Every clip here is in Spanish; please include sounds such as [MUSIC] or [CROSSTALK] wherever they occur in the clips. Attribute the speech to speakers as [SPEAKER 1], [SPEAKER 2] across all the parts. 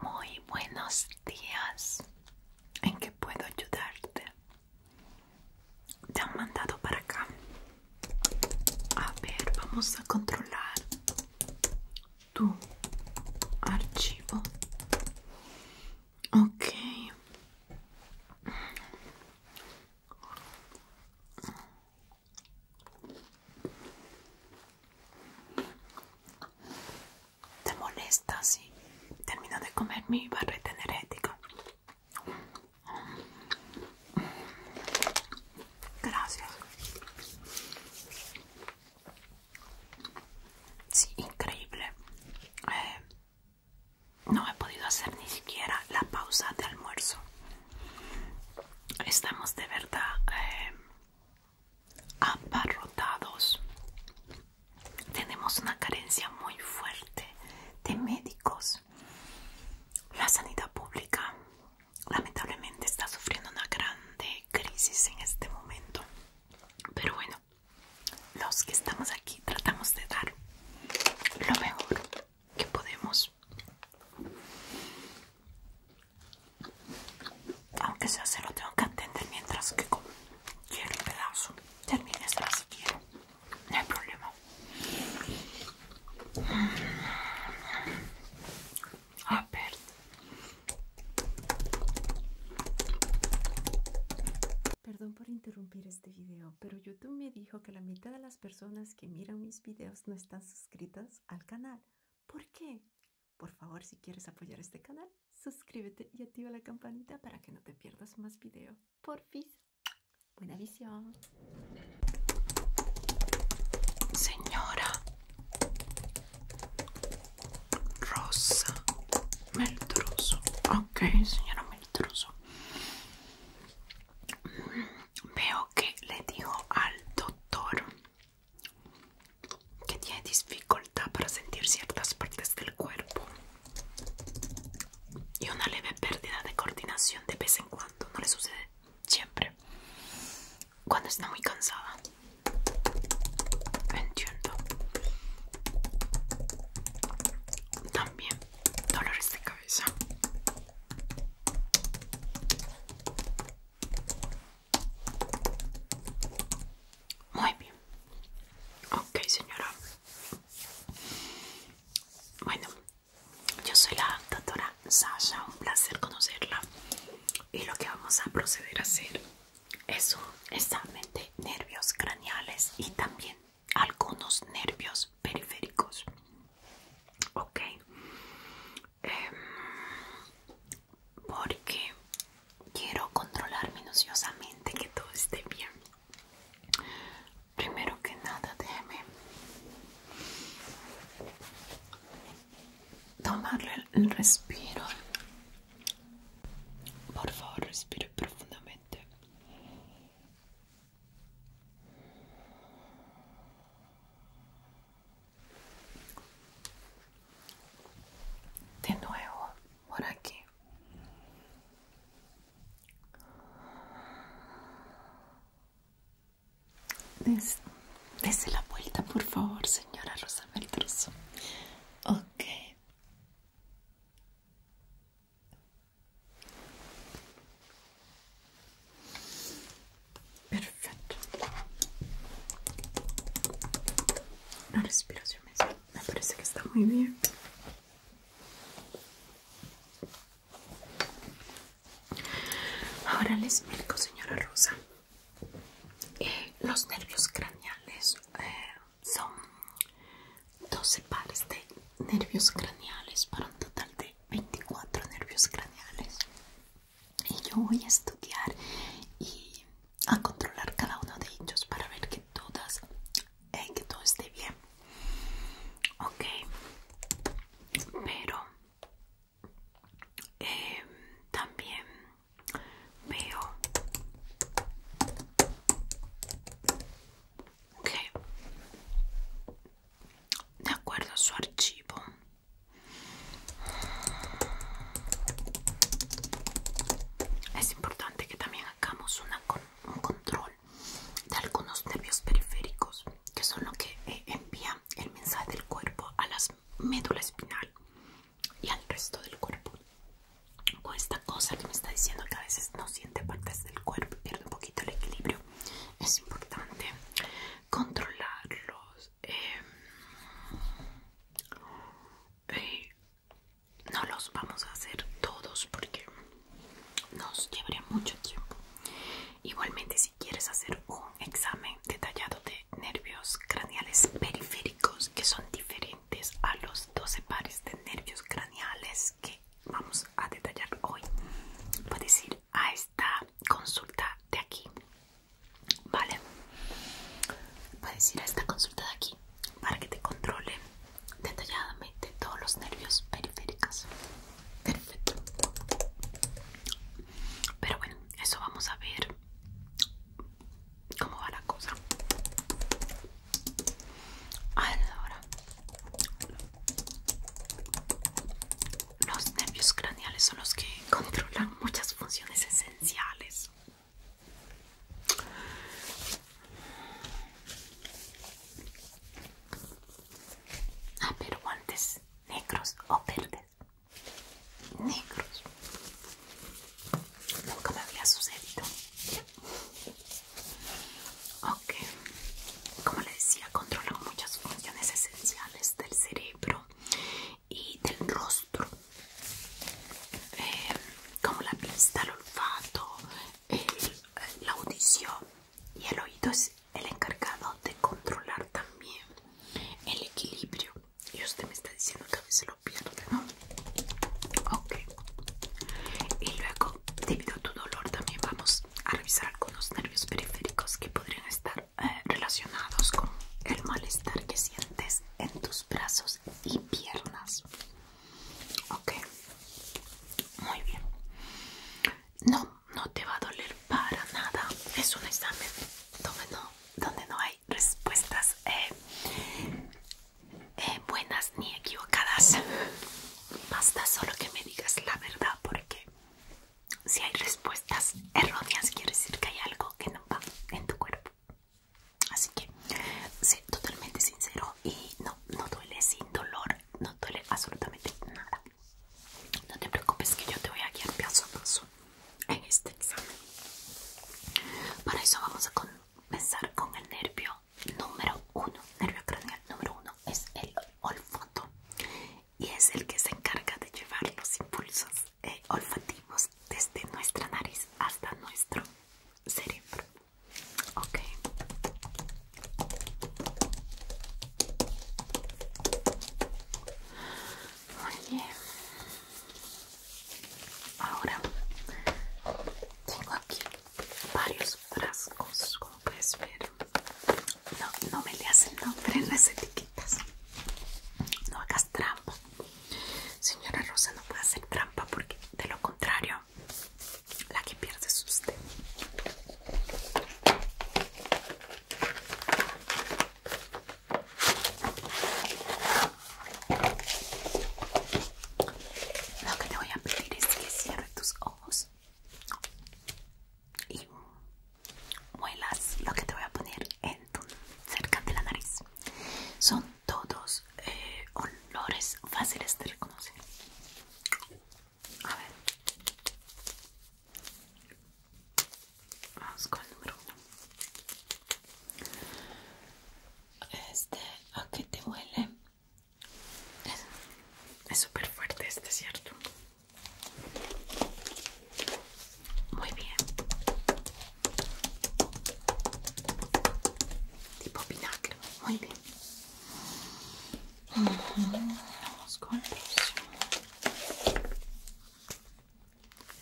[SPEAKER 1] Muy buenos días. ¿En qué puedo ayudarte? Te han mandado para acá. A ver, vamos a controlar tu archivo. Ok. Te molesta sí? termino de comer mi barreta energética. Gracias. Sí, increíble. Eh, no he podido hacer ni siquiera la pausa de almuerzo. Estamos de verdad eh, abarrotados Tenemos una carencia muy fuerte de médicos. La sanidad pública lamentablemente está sufriendo una grande crisis en este momento. Pero bueno, los que estamos aquí tratamos de dar lo mejor que podemos. Aunque sea se lo tengo que atender mientras que quiero el pedazo. esta si quiero. No hay problema. Mm. A ver. Perdón por interrumpir este video, pero YouTube me dijo que la mitad de las personas que miran mis videos no están suscritas al canal. ¿Por qué? Por favor, si quieres apoyar este canal, suscríbete y activa la campanita para que no te pierdas más video. fin. Buena visión. Señora Rosa Meltruso. Ok, señora Meltruso. Mm, veo que le dijo al doctor que tiene dificultad para sentir ciertas partes del cuerpo y una leve pérdida de coordinación de vez en cuando, no le sucede siempre cuando está muy cansada. Entiendo. También dolores de cabeza. Muy bien. Ok, señora. Bueno, yo soy la doctora Sasha, un placer conocerla. Y lo que vamos a proceder a hacer es un nervios craneales y también algunos nervios periféricos. Ok, Em, porque quiero controlar minuciosamente que todo esté bien. Primero que nada, déjeme tomarle el respiro. Por favor, respire profundamente de nuevo por aquí dese la vuelta por favor señora Rosa Maldroso. ok Perfecto. La respiración me parece que está muy bien. Ahora les explico, señora Rosa. Eh, los nervios craneales eh, son 12 pares de nervios craneales para un total de 24 nervios craneales y yo voy a estudiar y a controlar cada uno de ellos para ver que todas eh, que todo esté bien ok pero eh, también veo que de acuerdo a su archivo es importante que también hagamos un control de algunos nervios periféricos, que son lo que eh, envían el mensaje del cuerpo a la médula espinal y al resto del cuerpo. Con esta cosa que me está diciendo que a veces no siente partes del cuerpo, pierde un poquito el equilibrio. Es importante controlarlos Em, eh, no los vamos a hacer todos porque nos llevaría mucho tiempo. Igualmente, si quieres hacer un examen detallado de nervios craneales periféricos que son diferentes a los 12 pares de nervios craneales que vamos a detallar hoy, puedes ir a esta consulta de aquí Vale, puedes ir a esta consulta de aquí para que te controle detalladamente todos los nervios periféricos. Perfecto. Pero bueno, eso vamos a ver cómo va la cosa. los nervios craneales son los que controlan muchas funciones esenciales. Ah, pero guantes negros o verdes. Negros. Nunca me había sucedido. Ok. Como le decía, controla muchas funciones esenciales del cerebro y del rostro eh, como la vista, el olfato, la audición y el oído es el encargado de controlar también el equilibrio y usted me está diciendo que a veces lo pierde, ¿no? Ok. Y luego, debido a tu dolor, también vamos a revisar algunos nervios periféricos que podrían estar relacionados con el malestar que sientes en tus brazos y piernas. Ok, muy bien. No, no te va a doler para nada. Es un examen donde no, hay respuestas eh, eh, buenas ni equivocadas. Basta solo que me digas la verdad porque si hay respuestas erróneas quiere decir que hay algo que no va en tu cuerpo. Así que sé totalmente sincero y no, no duele sin dolor, no duele absolutamente nada. No te preocupes que yo te voy a guiar paso a paso en este examen. Para eso vamos a comenzar con el nervio número uno. Nervio craneal número uno es el olfato y es el que se encarga de llevar los impulsos olfatimos eh, olfativos desde nuestra nariz hasta nuestro cerebro. Ok. Muy Ahora tengo aquí varios frascos, como puedes ver. No, no me le hacen nombre en las etiquetas. No hagas Señora Rosa, no puede hacer trampa porque de lo contrario, la que pierde es usted. Lo que te voy a pedir es que cierres tus ojos y muelas lo que te voy a poner en tu, cerca de la nariz. Son todos eh, olores fáciles de reconocer. A ver. Vamos con el número uno. Este, ¿a qué te huele? Es súper fuerte este, ¿cierto? Muy bien. Tipo vinagre. Muy bien. Vamos con próximo.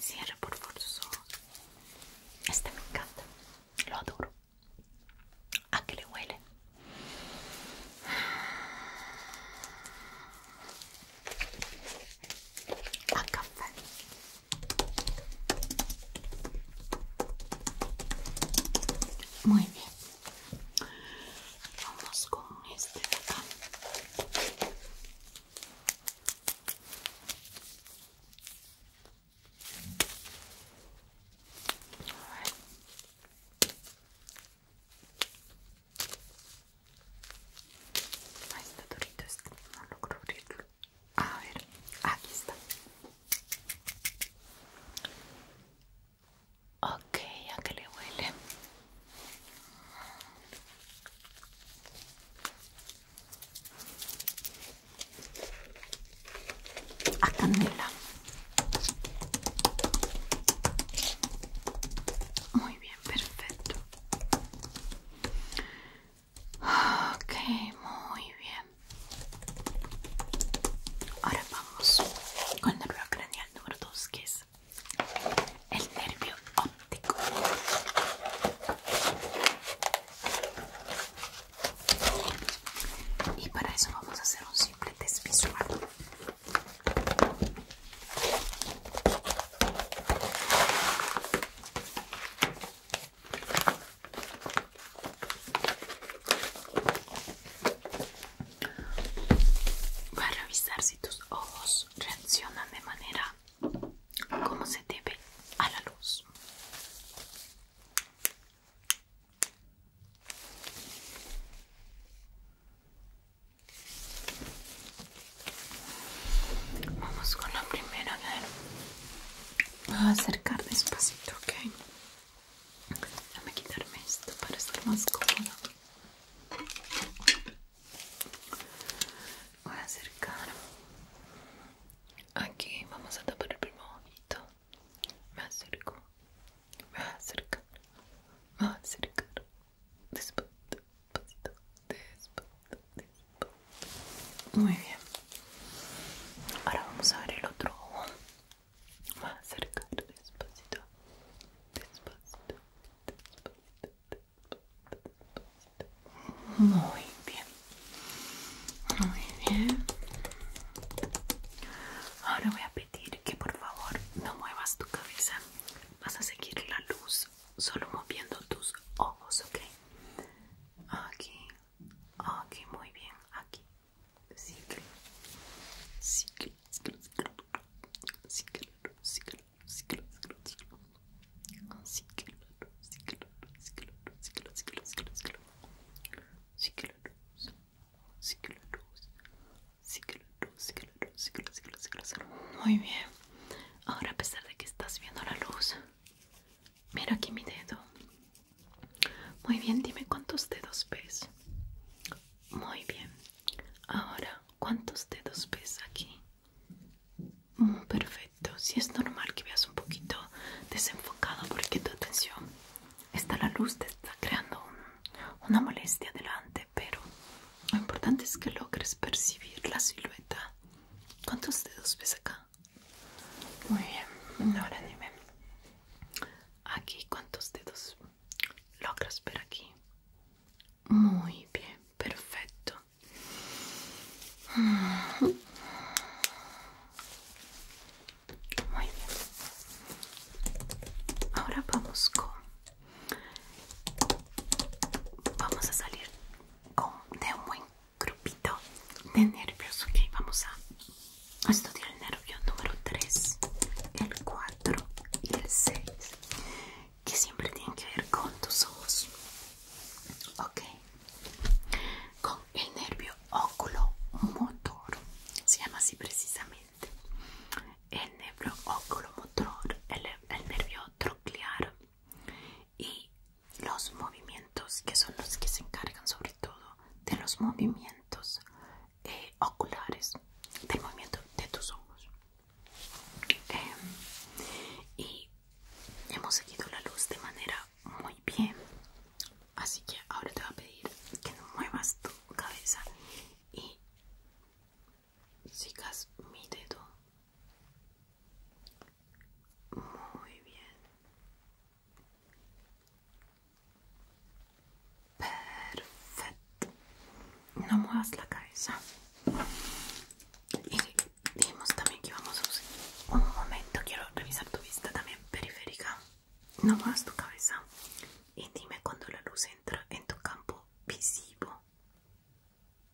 [SPEAKER 1] Cierra por favor Este me encanta. Lo adoro. ¿A qué le huele? A café. Muy bien. Vamos con este de acá. Ahí está durito no logro abrirlo. A ver, aquí está. Ok, ¿a qué le huele? A canela. Muy bien, perfecto. Ok, muy bien. Ahora vamos con el nervio craneal número 2, que es el nervio óptico. Y para eso vamos a hacer un simple test para a revisar si tus ojos reaccionan de manera como se debe a la luz. Vamos con la primera, a ver. A acercar despacito, ok. Déjame quitarme esto para estar más cómoda Voy a acercar. Aquí vamos a tapar el primer ojito. Me acerco. Me acercar, Me acercar Despacito despacito, despacito, despacito. Muy bien. Ahora vamos a ver el otro ojo. Más cerca, despacito, despacito, despacito, despacito. Muy bien. Muy bien. Ahora voy a pedir que por favor no muevas tu cabeza. Vas a seguir la luz solo moviendo tus ojos, ¿ok? Aquí, aquí, muy bien, aquí. Sí, sí, sí, sí, sí, sí, muy bien. Ahora a pesar de que estás viendo la luz, Mira aquí mi dedo. Muy bien, dime cuántos dedos ves. Muy bien. Ahora, ¿cuántos dedos ves aquí? Mm, perfecto. Si es normal que veas un poquito desenfocado porque tu atención está la luz, te está creando una molestia delante, pero lo importante es que logres percibir la silueta ¿Cuántos dedos ves acá? Muy bien, ahora dime. Aquí, ¿cuántos dedos logras ver aquí? Muy bien, perfecto. Muy bien. Ahora vamos con... Vamos a salir con, de un buen grupito de nervios. Ok, vamos a estudiar el nervio número 3, el 4 y el 6, que siempre tienen que ver con tus ojos. Ok, con el nervio oculomotor se llama así precisamente. El nervio oculomotor, el, el nervio troclear y los movimientos que son los que se encargan sobre todo de los movimientos eh, oculares del movimiento de tus ojos em, y hemos seguido la luz de manera muy bien así que ahora te voy a pedir que no muevas tu cabeza y sigas mi dedo muy bien. Perfecto. No muevas la cabeza. Y dijimos también que vamos a usar. Un momento, quiero revisar tu vista también periférica. No muevas tu cabeza. Y dime cuando la luz entra en tu campo visivo.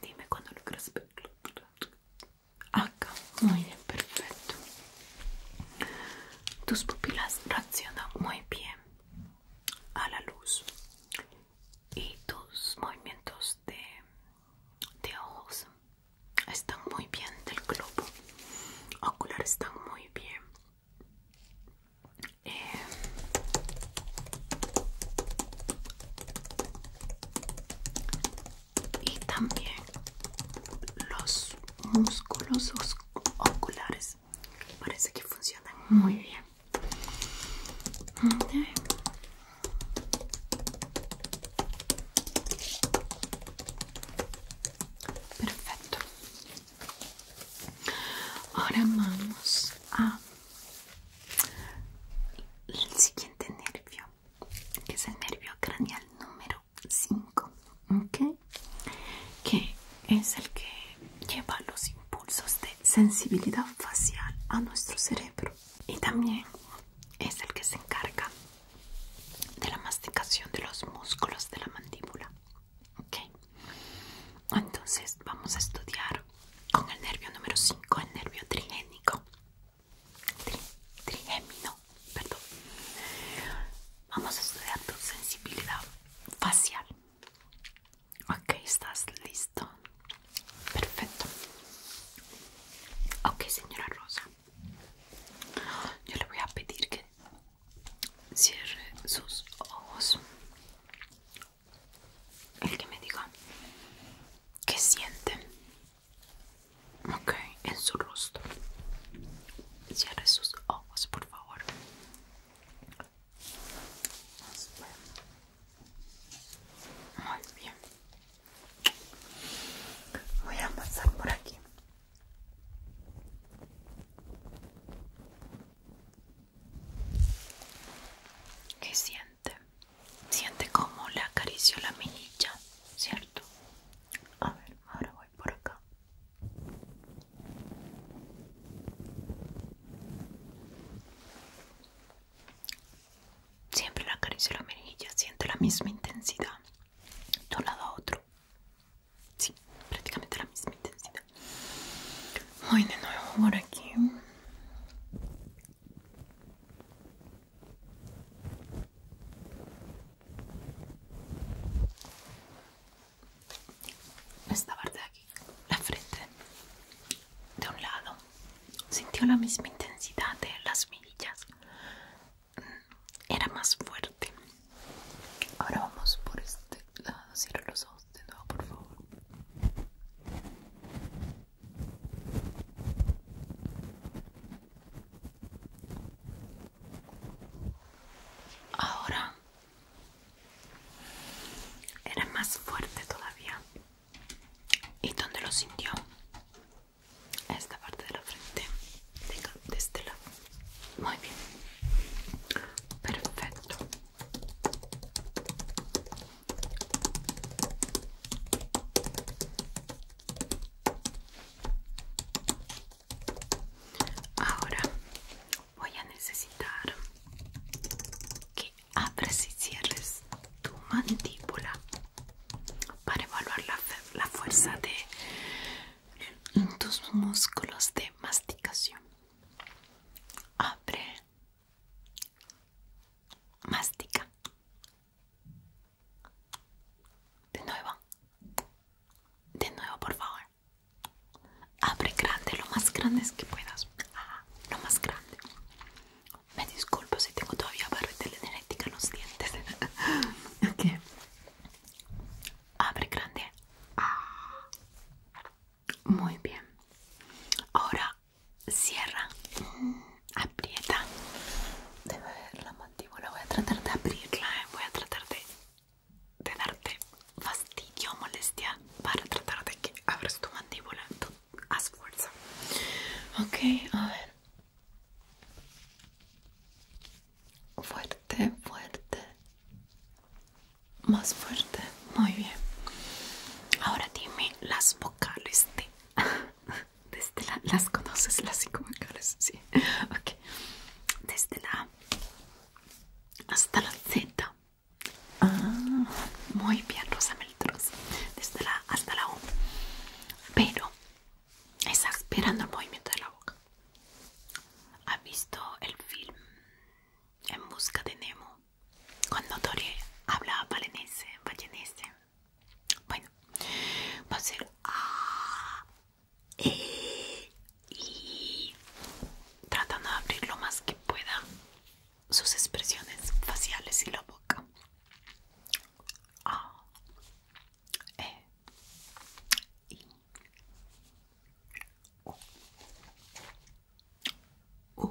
[SPEAKER 1] Dime cuando lo quieres Acá, muy bien, perfecto. Tus pupilas reaccionan muy bien a la luz y tus movimientos de, de ojos están muy bien del globo ocular, están muy bien. Eh, y también los músculos oculares parece que funcionan muy bien perfecto ahora vamos a el siguiente nervio, que es el nervio craneal número 5, que es el que lleva los impulsos de sensibilidad facial a nuestro cerebro y también es el que se encarga de la masticación de los músculos de la mandíbula. Entonces vamos a estudiar con el nervio número 5, el nervio trigénico. Trigémino, perdón. Vamos a estudiar tu sensibilidad facial. Ok, ¿estás listo? Perfecto. Ok, señora Rosa. Yo le voy a pedir que cierre sus ojos el que me diga que siente ok en su rostro cierre sus ojos por favor muy bien voy a pasar por aquí ¿Qué siente? Siente como le acaricio la mejilla, ¿cierto? A ver, ahora voy por acá. Siempre le acaricio la mejilla, siente la misma intensidad de un lado a otro. Sí, prácticamente la misma intensidad. Voy de nuevo por aquí. Esta parte de aquí, la frente de un lado, sintió la misma intensidad de las mirillas, era más fuerte. Ahora vamos por este lado, cierra los ojos de nuevo, por favor. Ahora era más fuerte todavía. ¿Y dónde lo sintió? Esta parte de la frente, de este lado. Muy bien. Perfecto. Ahora voy a necesitar que abres y cierres tu mandíbula para evaluar la, la fuerza de tus músculos de masticación. Abre Mástica De nuevo. De nuevo, por favor. Abre grande, lo más grande es que puedas. lo más grande. Me disculpo si tengo todavía barro de en los dientes. [LAUGHS] ok. Abre grande. Ah. Muy bien. Ahora cierra, aprieta. Debe ver la mandíbula. Voy a tratar de abrirla. Eh, voy a tratar de, de darte fastidio, molestia para tratar de que abras tu mandíbula. haz fuerza. Ok, a ver. Fuerte, fuerte. Más fuerte. Muy bien. Ahora dime las vocales de [LAUGHS] Desde la, las conoces, las cinco sí. Desde la hasta la Z. Ah, muy bien, Rosa Meltros. Desde la hasta la U. Pero esperando el movimiento de la boca. ¿Ha visto el film En busca de Nemo? cuando Tori habla balenese, balenese. Bueno, va a ser A, E, I, tratando de abrir lo más que pueda sus expresiones faciales y la boca. E, Uh,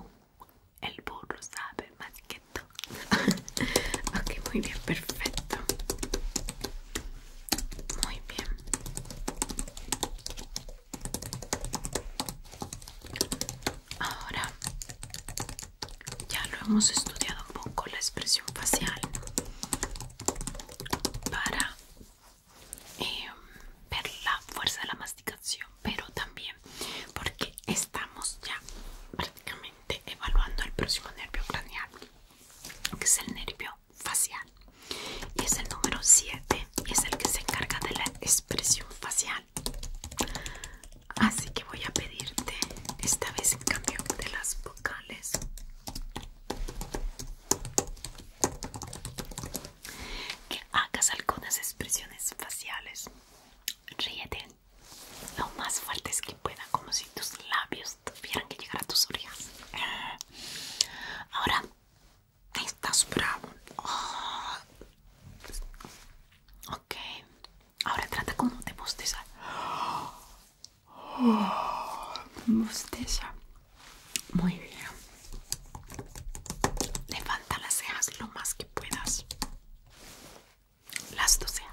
[SPEAKER 1] el burro sabe más que todo. [LAUGHS] ok, muy bien, perfecto. Muy bien. Ahora ya lo hemos estudiado un poco la expresión facial para em, ver la fuerza de la masticación pero también porque estamos ya prácticamente evaluando el próximo nervio craneal, que es el nervio facial. Y es el número 7 y es el que se encarga de la expresión facial. Así que voy a pedirte esta vez en cambio de las vocales que hagas algunas expresiones faciales. Ríete, lo más es que pueda, como si tus labios tuvieran que llegar a tus orejas. Ahora, estás bravo. Oh. Ok, ahora trata como de bostezar. Oh. Bosteza. Muy bien. Levanta las cejas lo más que puedas las doceas.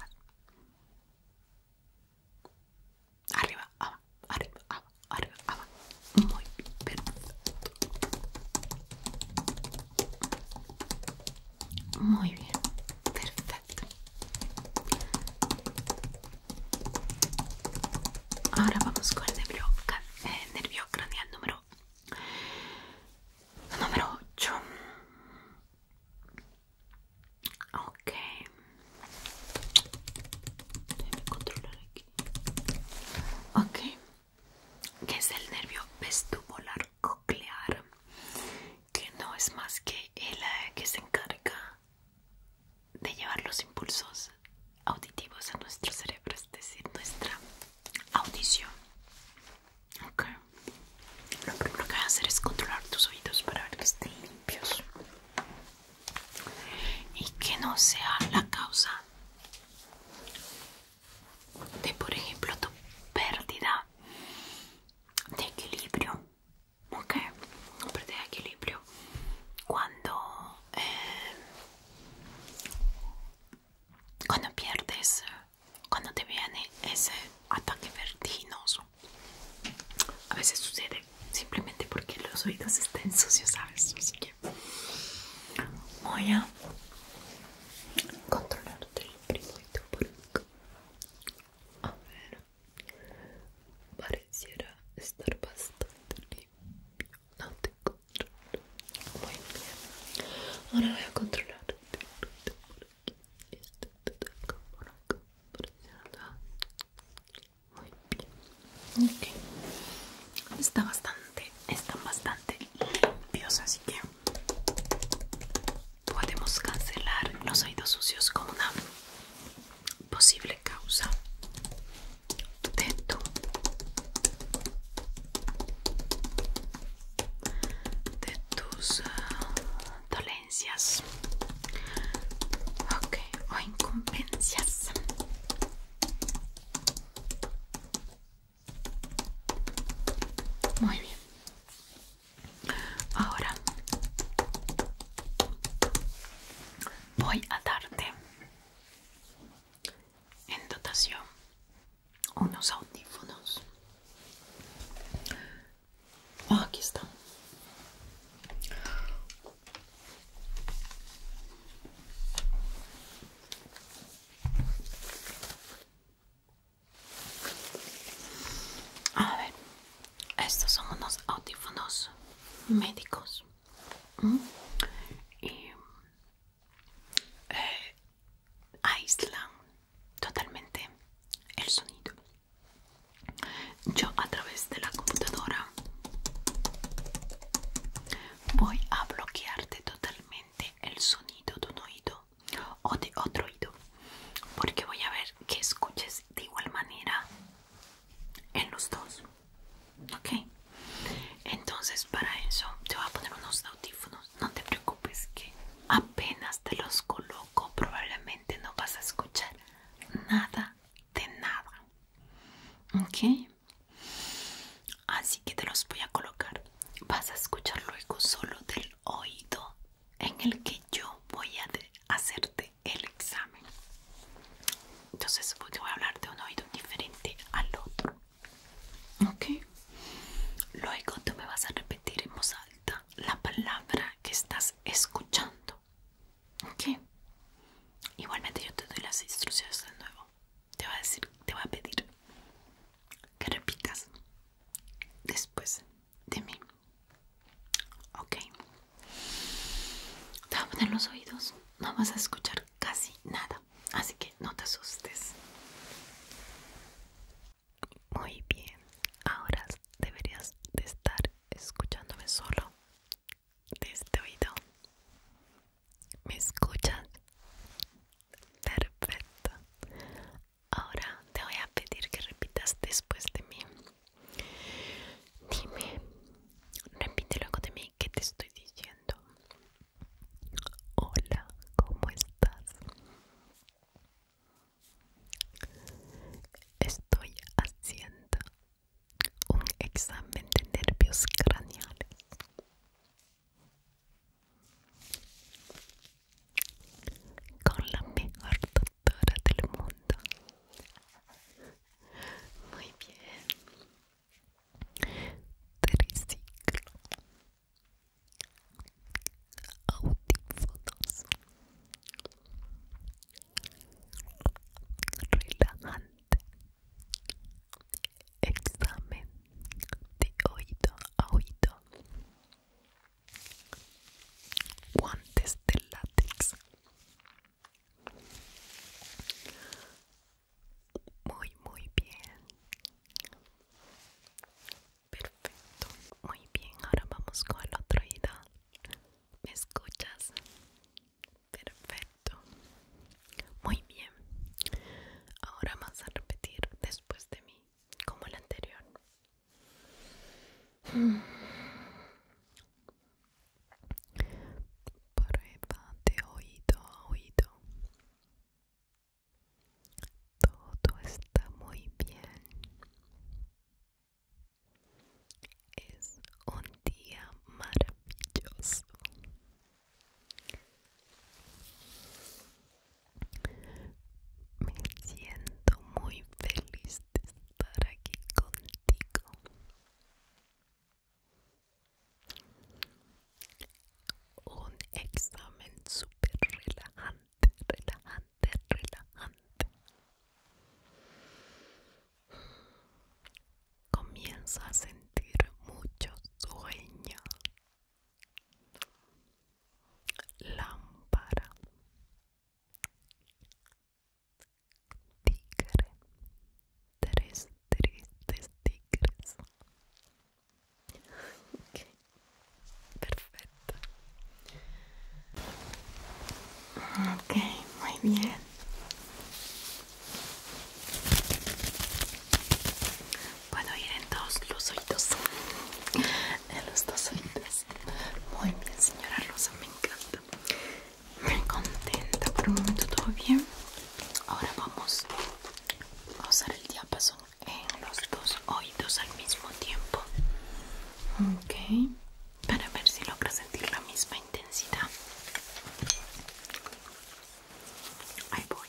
[SPEAKER 1] Arriba, arriba arriba, abajo, arriba, abajo. Muy bien, perfecto. Muy bien, perfecto. Ahora vamos con el nervio, eh, nervio craneal número Número 8. Ok. Déjame controlar aquí. Ok. Que es el nervio vestibular coclear. Que no es más que el eh, que se encarga de llevar los impulsos auditivos a nuestro cerebro, es decir, nuestra audición. Ok. Lo primero que voy a hacer es controlar tus oídos para ver que estén limpios y que no sea la causa de, por ejemplo, tu pérdida de equilibrio. Ok, pérdida equilibrio cuando eh, cuando pierdes cuando te viene ese ataque vertiginoso a veces sucede simplemente porque los oídos estén sucios sabes así que voy a controlarte todo el acá a ver pareciera estar bastante limpio no te controlo muy bien ahora voy a controlarte Está te Muy bien. Ok. Está bastante, están bastante limpios, así que podemos cancelar los oídos sucios como una posible causa de tu de tus ah, dolencias okay, o incumbencias. Muy bien. Ahora voy a darte en dotación unos audífonos. Ah, aquí está A ver, estos son unos audífonos médicos. Y eh, totalmente el sonido yo a través de la computadora voy a bloquearte totalmente el sonido de un oído o de otro oído porque voy a ver que escuches de igual manera en los dos ok entonces para eso te voy a poner unos dos no te preocupes que apenas te los coloco probablemente no vas a escuchar nada de nada. ¿Ok? Así que te los voy a colocar. Vas a escuchar luego solo del oído en el que yo voy a hacerte el examen. Entonces voy a hablar de un oído diferente al otro. ¿Ok? Luego tú me vas a repetir en voz alta la palabra que estás escuchando. ¿Ok? Igualmente yo te doy las instrucciones de nuevo. Te voy a decir, te voy a pedir que repitas después de mí. ¿Ok? Te voy a poner los oídos. No vas a escuchar casi nada. Así que no te asustes. Muy bien, ahora deberías de estar escuchándome solo de este oído. ¿Me escuchas? Perfecto. Ahora te voy a pedir que repitas después de mí. Dime, repite luego de mí que te estoy diciendo. Hola, ¿cómo estás? Estoy haciendo un examen de nervios craneales. Con la mejor doctora del mundo. Muy bien. Triciclo. Audífonos relajante examen de oído a oído guantes de látex muy muy bien Perfecto. Muy bien, ahora vamos con el otro oído. ¿Me escuchas? Perfecto. Muy bien. Ahora vas a repetir después de mí, como el anterior. Hmm. Prueba de oído oído. Todo está muy bien. Es un día maravilloso. Me siento muy feliz de estar aquí contigo. Un examen super relajante relajante, relajante, Comienza a sentir mucho sueño. Lámpara. Tigre. Tres tristes tigres ok perfecto ok muy bien puedo ir en todos los oídos en los dos oídos muy bien señora Rosa me encanta me contenta por un momento todo bien ahora vamos a usar el diapasón en los dos oídos al mismo tiempo okay, para ver si logras sentir la misma intensidad ahí voy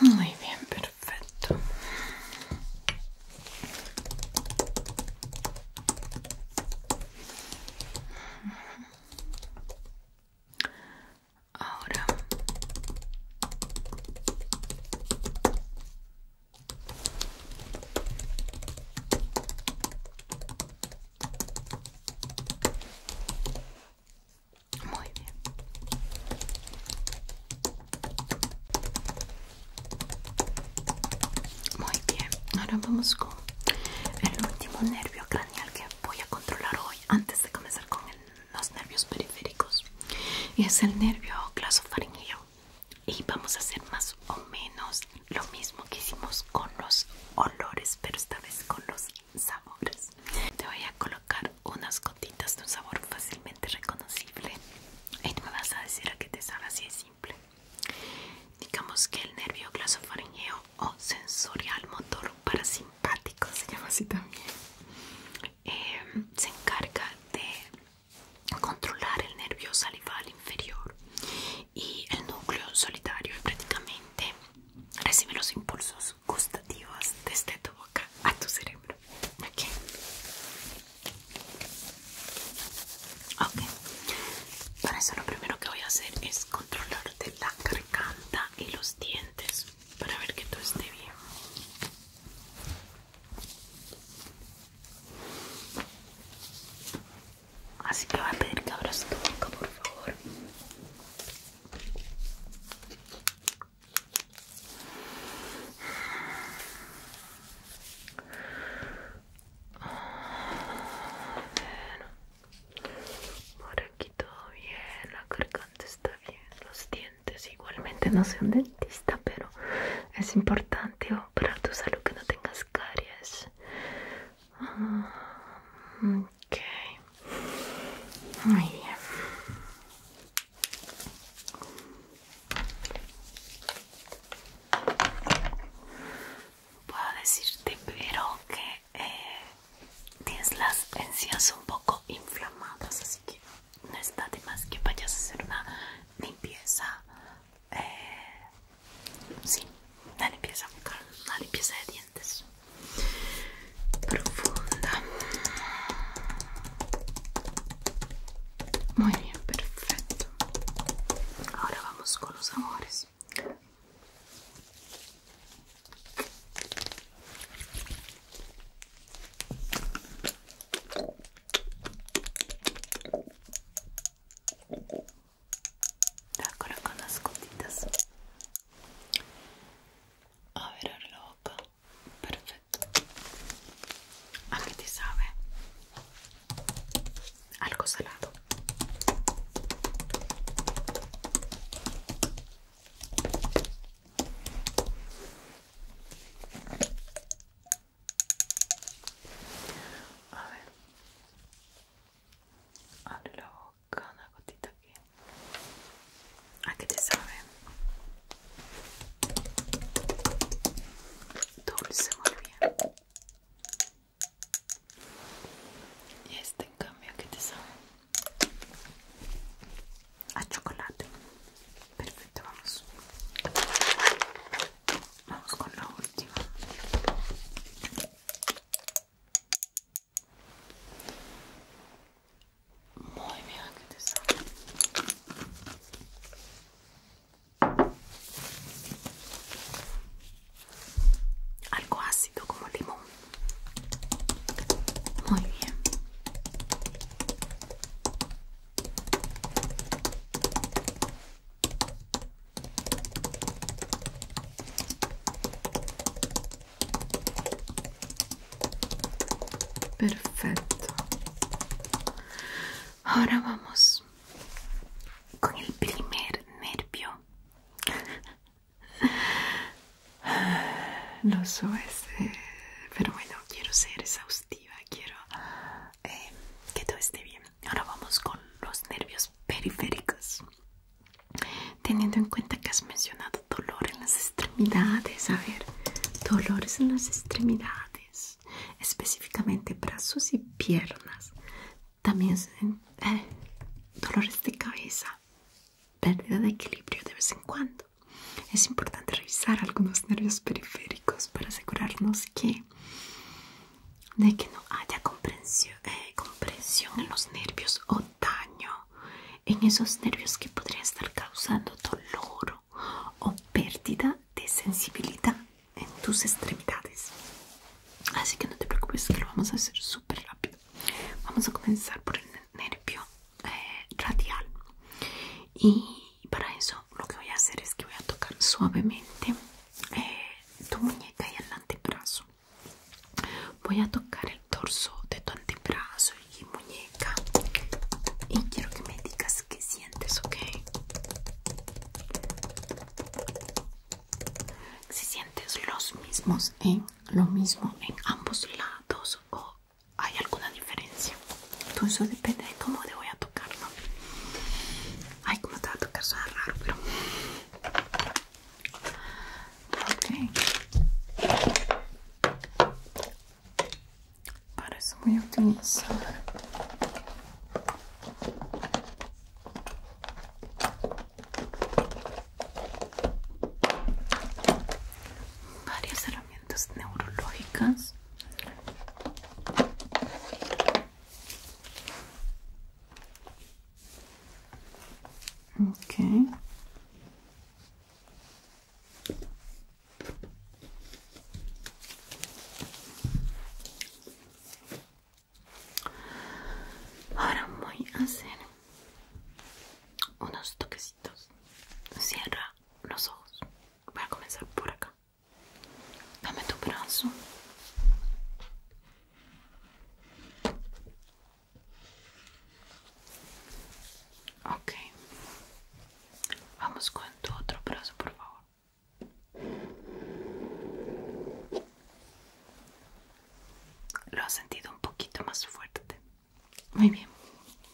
[SPEAKER 1] muy bien, perfecto. Ahora muy bien. Muy bien. Ahora vamos con el último nervio craneal que voy a controlar hoy antes de comenzar con los nervios periféricos. Y es el nervio glosofaríngeo y vamos a hacer más o menos lo mismo que hicimos con los olores pero esta vez con los sabores te voy a colocar unas gotitas de un sabor fácilmente reconocible y tú me vas a decir a qué te sabe así de simple digamos que el nervio glasofaringeo o sensorial motor parasimpático se llama así también eh, se encarga de controlar el nervio salival inferior y el núcleo solitario y prácticamente recibe los impulsos gustativos desde este tu boca a tu cerebro. Okay. ok, para eso lo primero que voy a hacer es controlarte la garganta y los dientes para ver que todo esté bien. Así que va a pedir que abra tu boca, por favor. Bueno. Por aquí todo bien, la garganta está bien, los dientes. Igualmente no soy un dentista, pero es importante para tu salud que no tengas caries. Ah, ok. Muy bien. Puedo decirte, pero que eh, tienes las encías un poco inflamadas, así que no está de más que vayas a hacer una limpieza. Eh, sí, una limpieza una limpieza de dientes profunda. Muy bien, perfecto. Ahora vamos con los sabores. Ah, ahora con las gotitas. A ver, el la Perfecto. ¿A ah, qué te sabe? Algo salado. A ver. Abre la boca, una gotita aquí. ¿A ah, qué te sabe? Dulce, muy bien. Y este en cambio, ¿a qué te sabe? a chocolate. Perfecto, vamos. Vamos con la última. Muy bien, sale. Algo ácido como limón. Muy bien. Perfecto. Ahora vamos con el primer nervio. Lo sé, pero bueno, quiero ser exhaustiva quiero eh, que todo esté bien. Ahora vamos con los nervios periféricos. Teniendo en cuenta que has mencionado dolor en las extremidades, a ver, dolores en las extremidades, específicamente brazos y piernas, también eh, dolores de cabeza, pérdida de equilibrio de vez en cuando. Es importante revisar algunos nervios periféricos para asegurarnos que de que no haya compresión eh, en los nervios o daño en esos nervios que podrían estar causando dolor o pérdida de sensibilidad en tus extremidades. Así que no te preocupes, que lo vamos a hacer súper rápido. Vamos a comenzar por el nervio eh, radial y y para eso lo que voy a hacer es que voy a tocar suavemente eh, tu muñeca y el antebrazo voy a tocar el torso de tu antebrazo y muñeca y quiero que me digas qué sientes ok si sientes los mismos en lo mismo en ambos lados hay alguna diferencia. entonces pues depende de cómo le voy a tocar, ¿no? Ay, como te va a tocar, suena raro, pero... Ok. Para eso voy varias herramientas neurológicas Ahora voy a hacer unos toquecitos. Cierra los ojos. Voy a comenzar por acá. Dame tu brazo. Ok. Vamos con tu otro brazo, por favor. Lo has sentido un poquito más fuerte. Muy bien.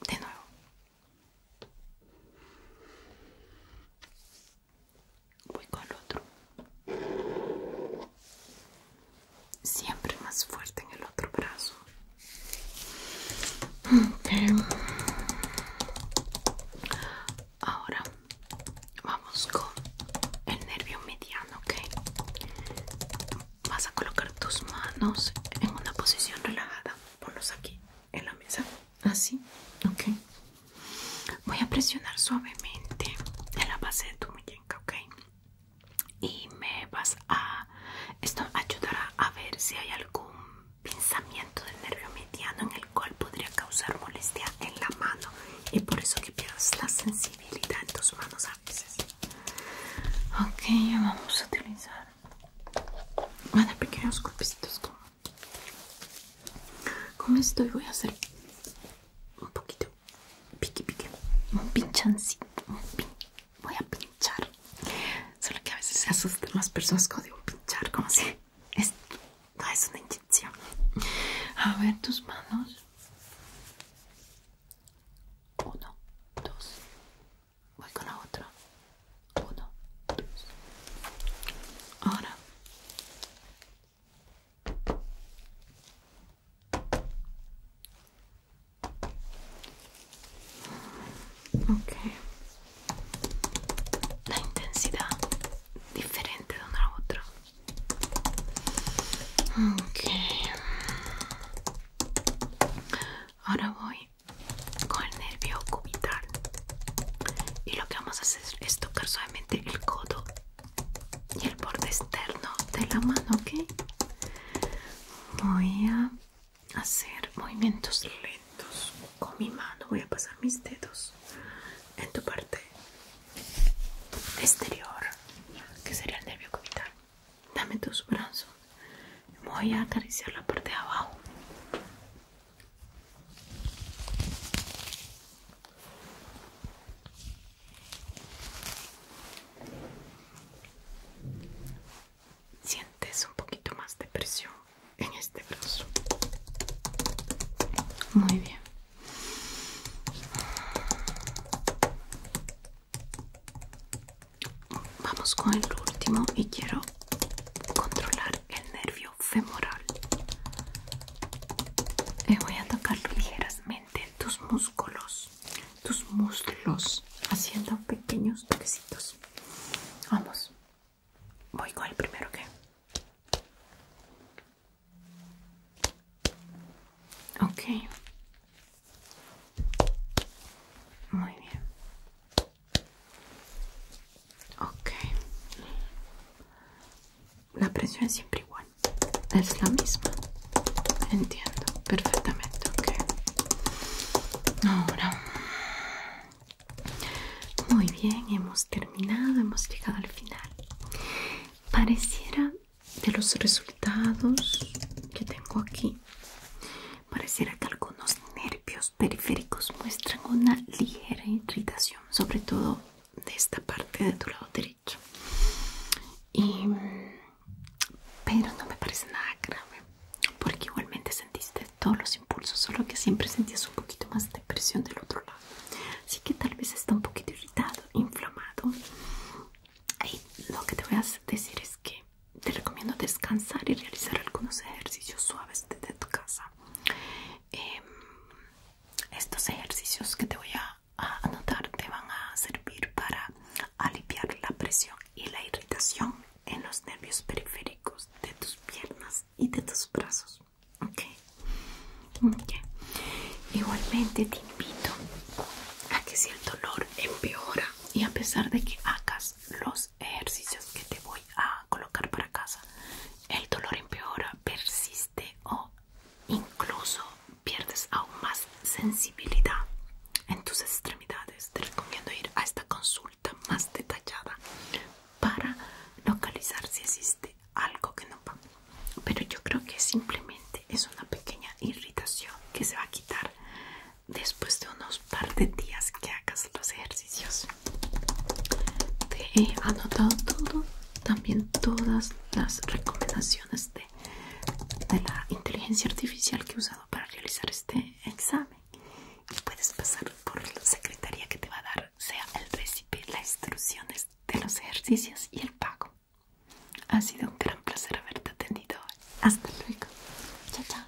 [SPEAKER 1] De nuevo. Voy con el otro. Siempre más fuerte en el otro brazo. Ahora vamos con el nervio mediano, ¿ok? Vas a colocar tus manos en una posición relajada. Ponlos aquí en la mesa. Así, ah, ok. Voy a presionar suavemente en la base de tu muñeca, ok. Y me vas a. Esto ayudará a ver si hay algún pinzamiento del nervio mediano en el cual podría causar molestia en la mano. Y por eso que pierdas la sensibilidad en tus manos a veces. Ok, vamos a utilizar. Van a pequeños golpecitos con estoy voy a hacer un poquito piqui piqui, un pinchancito, voy a pinchar. Solo que a veces se asustan las personas cuando digo pinchar, como si es, no es una inyección. A ver tus manos. Uno, dos, voy con la otra. Uno, Ahora. La intensidad diferente de una a otra. Ahora voy con el nervio cubital y lo que vamos a hacer es tocar suavemente el codo y el borde externo de la mano ok voy a hacer movimientos lentos con mi mano voy a pasar mis dedos en tu parte exterior que sería el nervio cubital dame tus brazos voy a acariciar la parte de abajo Sientes un poquito más de presión en este brazo. Muy bien. Vamos con el último y quiero controlar el nervio femoral y eh, voy a tocar ligeramente tus músculos tus muslos haciendo pequeños toquecitos vamos voy con el primero que ok muy bien Ok. La presión es siempre igual. Es la misma. Entiendo perfectamente. Ahora. Muy bien, hemos terminado. Hemos llegado al final. Pareciera de los resultados que tengo aquí. Pareciera que algunos nervios periféricos muestran una ligera irritación, sobre todo de esta parte de tu lado derecho. pero no me parece nada grave, porque igualmente sentiste todos los impulsos, solo que siempre sentías un poquito más de presión del otro lado. Así que tal vez está un poquito irritado, inflamado. Y lo que te voy a decir es que te recomiendo descansar y realizar algunos ejercicios suaves de tu casa em, estos ejercicios que te voy a, anotar te van a servir para aliviar la presión y la irritación en los nervios periféricos de tus piernas y de tus brazos igualmente te invito a que si el dolor empeora y a pesar de que hagas los ejercicios que te voy a colocar para casa. El dolor empeora, persiste o incluso pierdes aún más sensibilidad en tus extremidades. Te recomiendo ir a esta consulta más detallada para localizar si existe algo que no va. Pero yo creo que simplemente es una pequeña irritación que se va a quitar después de unos par de días que hagas los ejercicios te he anotado todo también todas las recomendaciones de, de la inteligencia artificial que he usado para realizar este examen y puedes pasar por la secretaría que te va a dar sea el recipe las instrucciones de los ejercicios y el pago ha sido un gran placer haberte atendido hasta luego chao chao